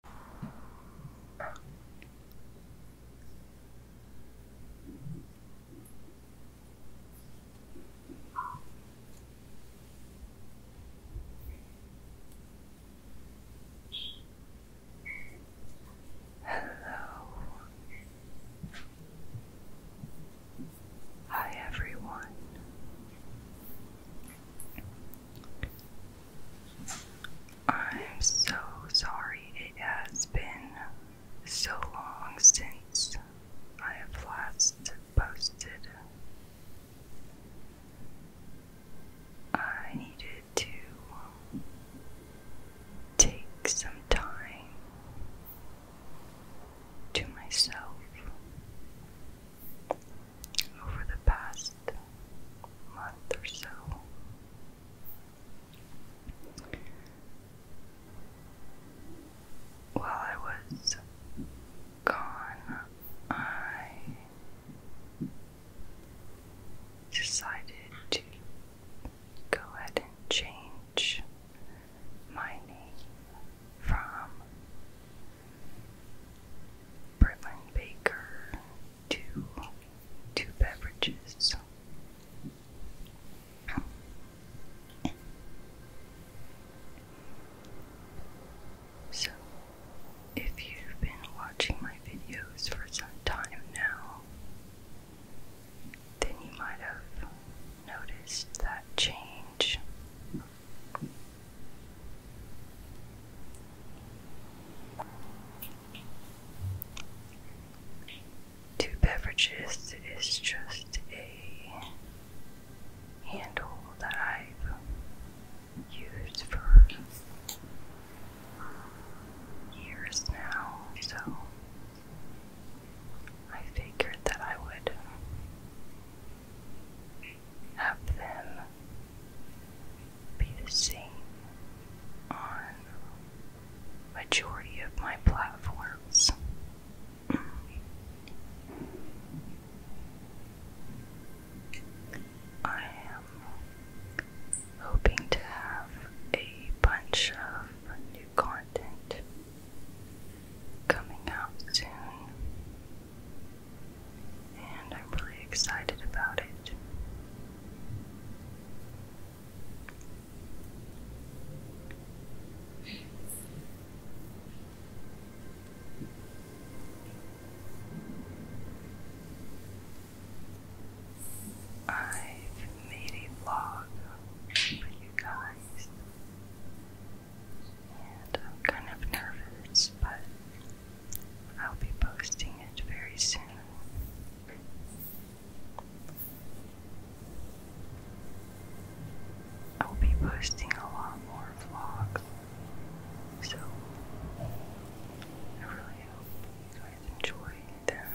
Hello. Hi, everyone. I'm so sorry it has been so long since I have last posted. I needed to take some time to myself over the past month or so. While I was gone, I decided to go ahead and change my name from Berlin Baker, two, two beverages. So, if you've been watching my videos for some time now, then you might have noticed that change. Two beverages is just a handle that I've used for years now, so I figured that I would have them be the on majority of my platforms. I am hoping to have a bunch of new content coming out soon and I'm really excited about it. I've made a vlog for you guys, and I'm kind of nervous, but I'll be posting it very soon. I'll be posting a lot more vlogs, so I really hope you guys enjoy them.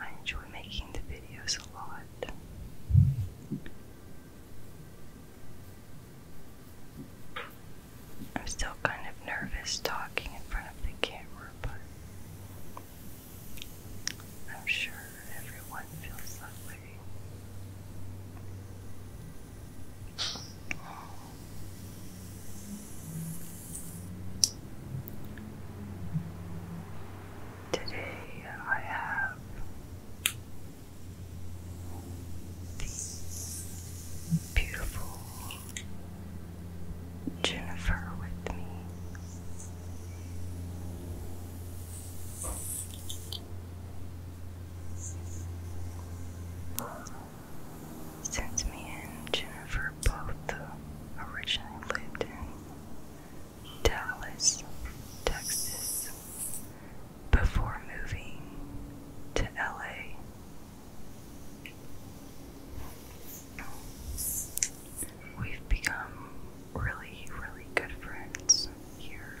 I enjoy making the videos a lot. I'm still kind of nervous talking in front of the camera, but I'm sure everyone feels that way. Today I have the beautiful Jennifer with me. Since me and Jennifer both originally lived in Dallas, Texas, before moving to LA. We've become really, really good friends here.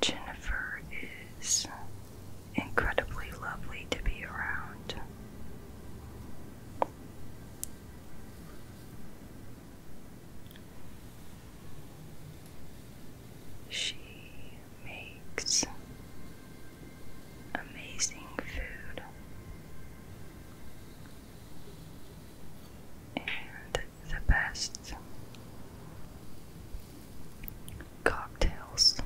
Jennifer is incredibly lovely to be around. She makes amazing food and the best cocktails.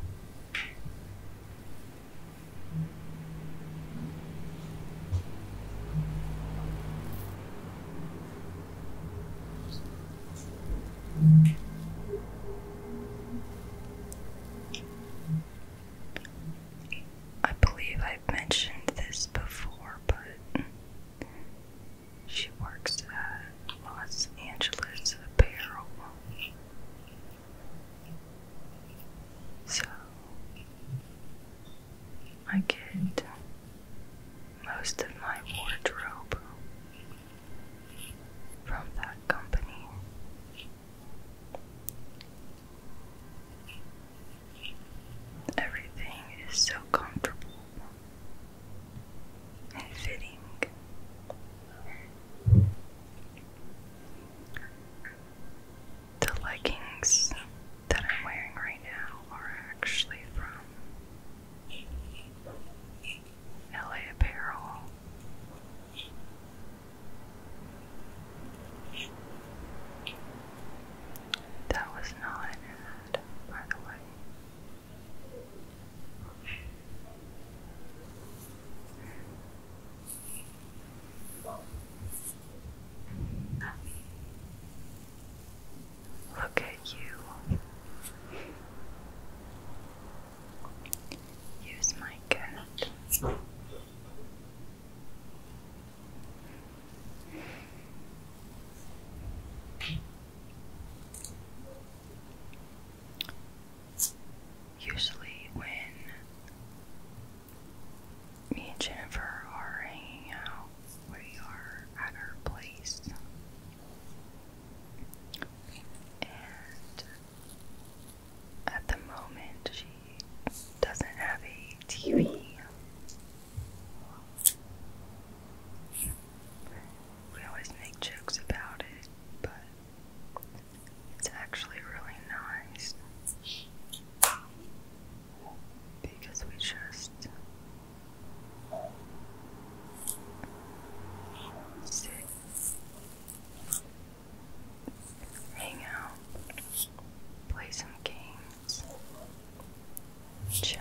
I believe I've mentioned this before, but she works at Los Angeles Apparel. So I get most of my wardrobe from that company. Everything is so comfortable and fitting. The leggings that I'm wearing right now are actually from LA Apparel. That was not an ad, by the way. Look at you. Use my cat. Usually, when me and Jennifer are hanging out, we are at her place at the moment, she doesn't have a TV. We always make jokes about it, but it's actually really nice because we just Sit. Hang out. Play some games. Chat.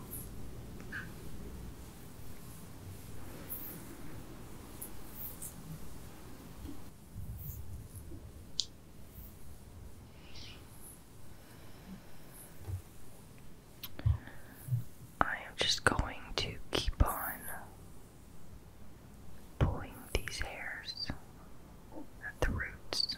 I am just going to keep on pulling these hairs at the roots.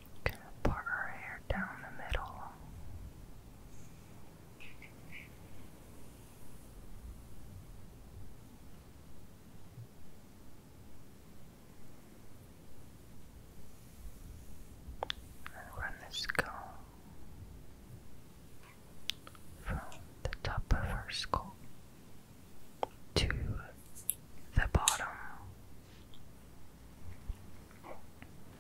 Gonna part her hair down the middle. And run this comb from the top of her skull to the bottom.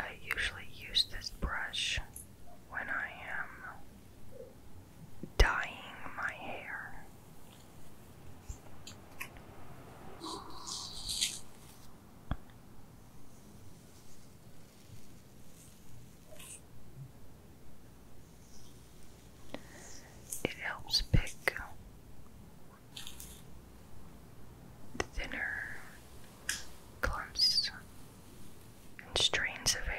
I usually use this brush when I am dyeing my hair. It helps pick the thinner clumps and strains of hair.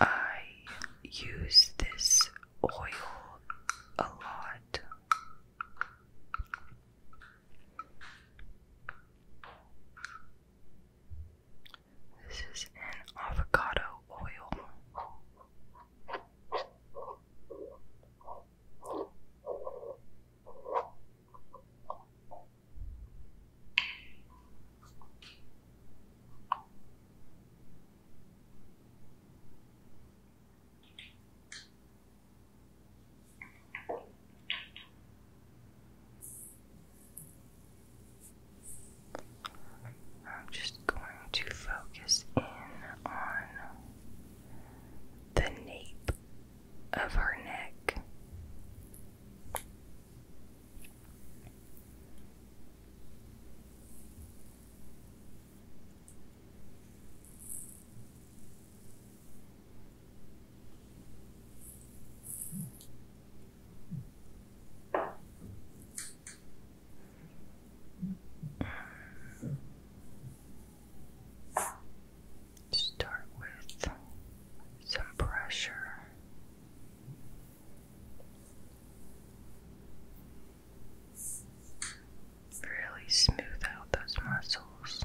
I use this oil a lot. This is an avocado oil. I'm just going to focus in on the nape of her neck. Start with some pressure. Really smooth out those muscles.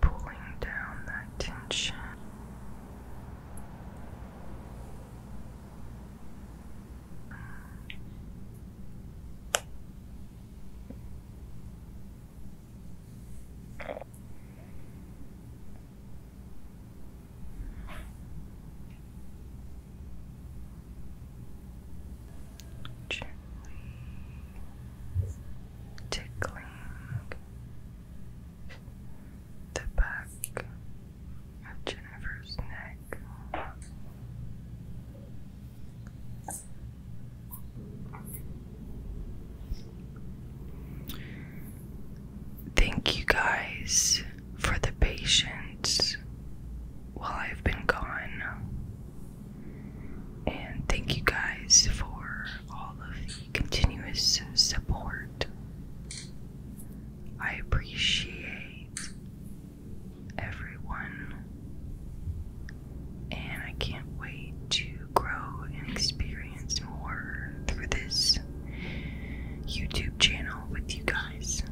Pulling down that tension tickling the back of Jennifer's neck. Thank you guys for the patience while I've been gone. And thank you guys for all of the continuous support. I appreciate everyone, and I can't wait to grow and experience more through this YouTube channel with you guys.